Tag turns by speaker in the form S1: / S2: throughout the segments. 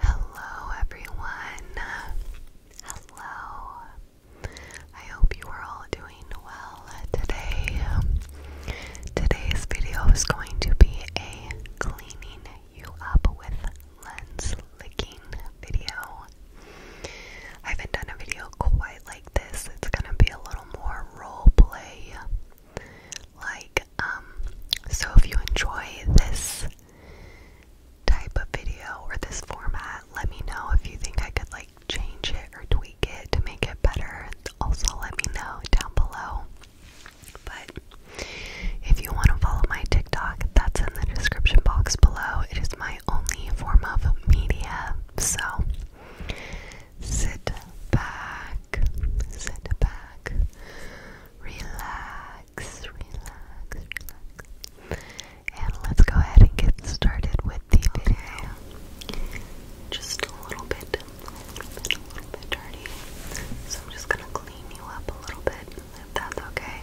S1: Hello, everyone. Hello. I hope you are all doing well today. Today's video is going to be a cleaning you up with lens licking video. I haven't done a video quite like this. It's gonna be a little more role play. Like, um, so if you enjoy this type of video or this format, let me know if you think I could like change it or tweak it to make it better. Also, let me know down below. But if you want to follow my TikTok, that's in the description box below. It is my only form of media. So sit back, sit back, relax, relax, relax. And let's go ahead and get started with the video. Just a little bit, a little bit, a little bit dirty. So I'm just gonna clean you up a little bit, if that's okay.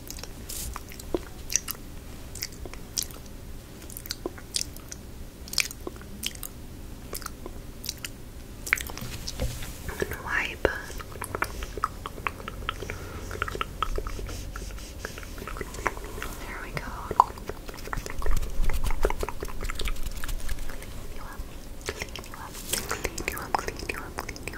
S1: And wipe. There we go. Clean you up. Clean you up. Clean you up. Clean you up. Clean you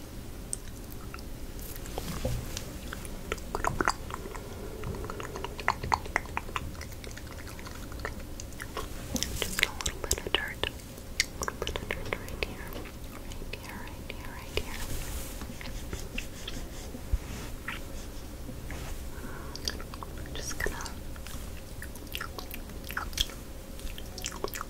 S1: Just a little bit of dirt. A little bit of dirt right here. Right here, right here, right here. I'm just gonna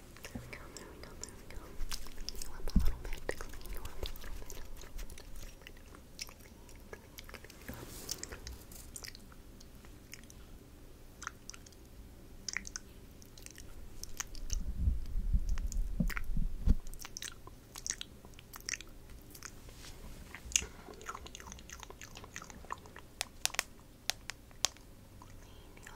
S1: There we go, there we go, there we go. Clean you up a little bit, clean you up a little bit, a little bit, a little bit. Clean, clean, clean up. Clean you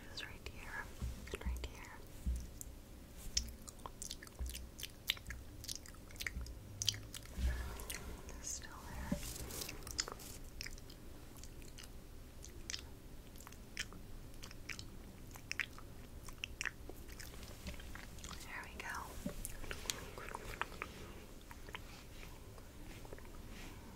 S1: patches right here and right here. still there. There we go.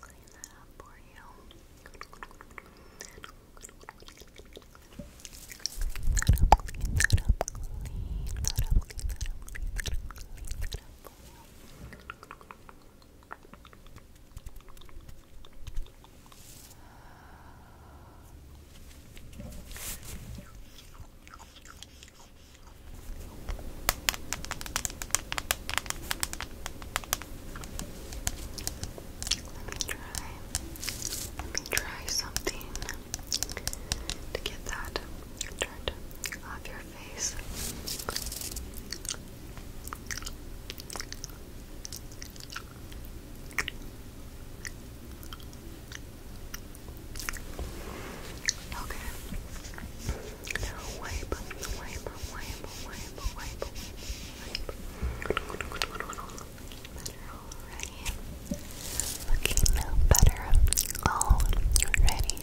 S1: Clean that up for you. that up, that up, that up, that up, that up, that up. Let me try. Let me try something to get that turned off your face. Okay. Now wipe, wipe, wipe, wipe, wipe, wipe, wipe. Better already. Looking no better already. Okay.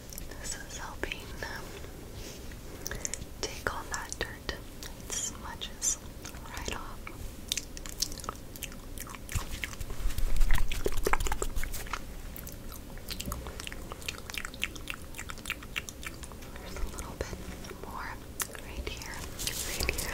S1: This is helping take all that dirt smudges right off. There's a little bit more right here, right here.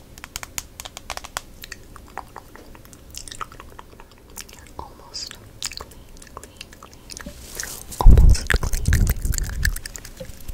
S1: Almost clean, clean, clean. Almost clean, clean, clean. But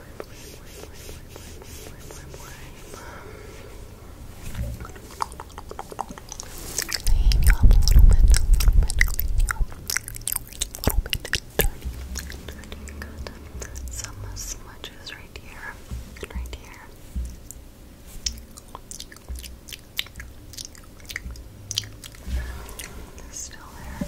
S1: Clean you up a little bit, a little bit, clean you up a little bit. Dirty, dirty. Got some smudges right here, right here. Still there.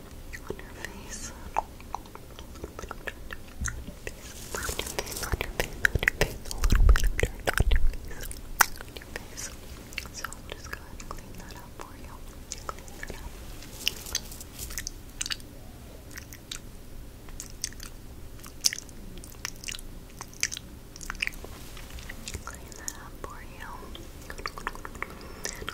S1: on your face. On your face, on your face, on your face, a little bit on your face, on So I'm just going to clean that up for you. Clean that up. Clean that up for you.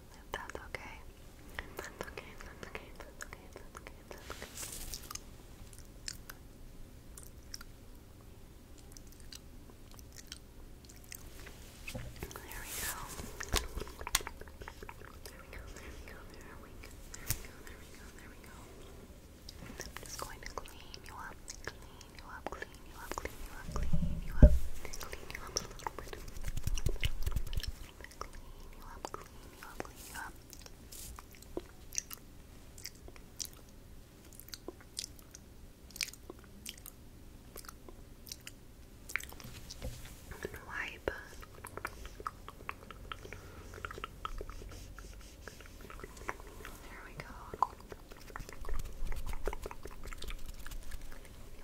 S1: If that's okay. that's okay. that's okay. that's okay. that's okay. that's okay. There we go. There we go. There we go. There we go. There we go. There we go. I'm just going to clean you up, clean you up, clean you up, clean, you up, clean you up, clean you up a little bit, a little bit, a little bit, a little bit, clean you up, clean you up, clean you up. And wipe. There we go. Clean you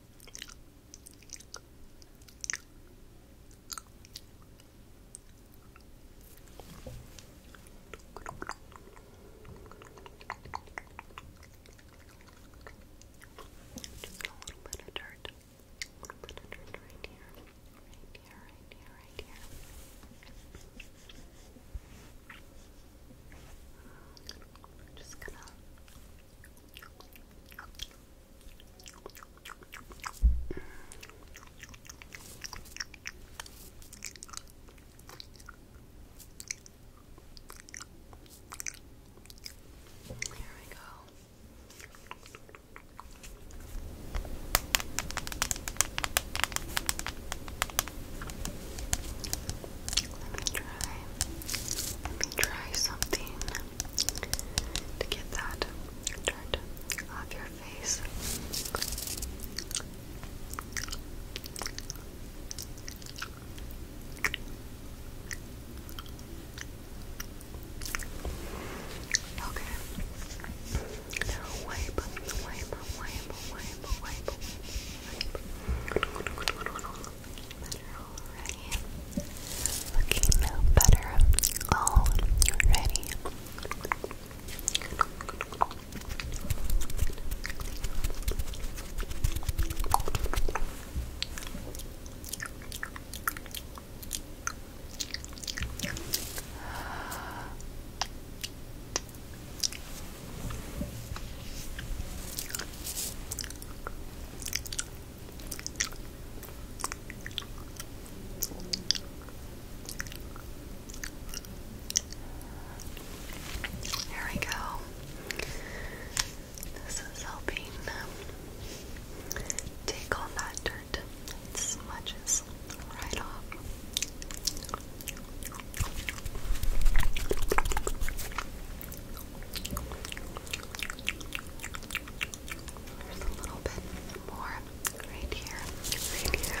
S1: Just a little bit of dirt. A little bit of dirt right here. Right here, right here, right here. just gonna here we go. Let me let me try something to get that turned off your face. Okay. Now wipe, wipe, wipe, wipe, wipe, wipe better already. Looking no better already. There we go. This is helping take all that dirt smudges right off. There's a little bit more right here, right here.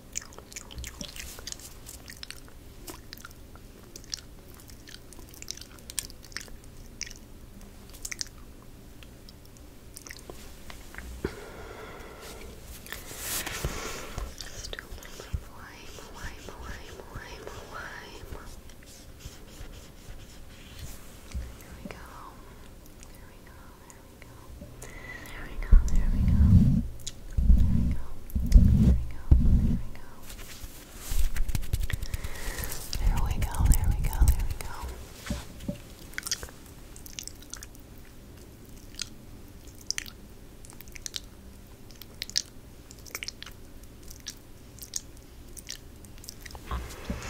S1: Still wine, wine, wine, wine, wine. There we go. There we go. There go. There we go. There we go. There we go. There we go. There we go. There we go. There we go. There we go. Okay.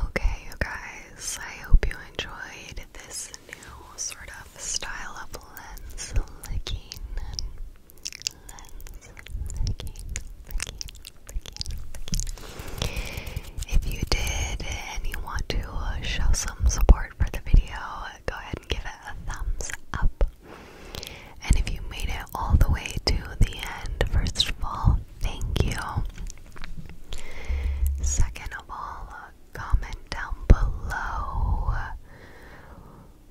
S1: Okay, you guys, I hope you enjoyed this new sort of style of lens licking. If you did and you want to show some support for the video, go ahead and give it a thumbs up. And if you made it all the way to the end, first of all, thank you. Second of all, comment down below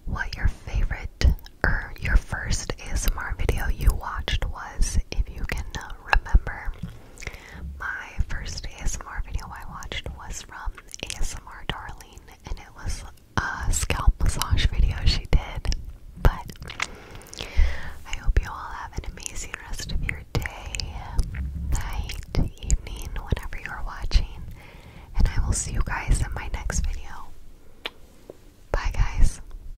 S1: what your favorite or your first ASMR video you watched was was, if you can remember, my first ASMR video I watched was from ASMR Darling, and it was a scalp massage video she did. But I hope you all have an amazing rest of your day, night, evening, whenever you're watching, and I will see you guys in my next video. Bye, guys.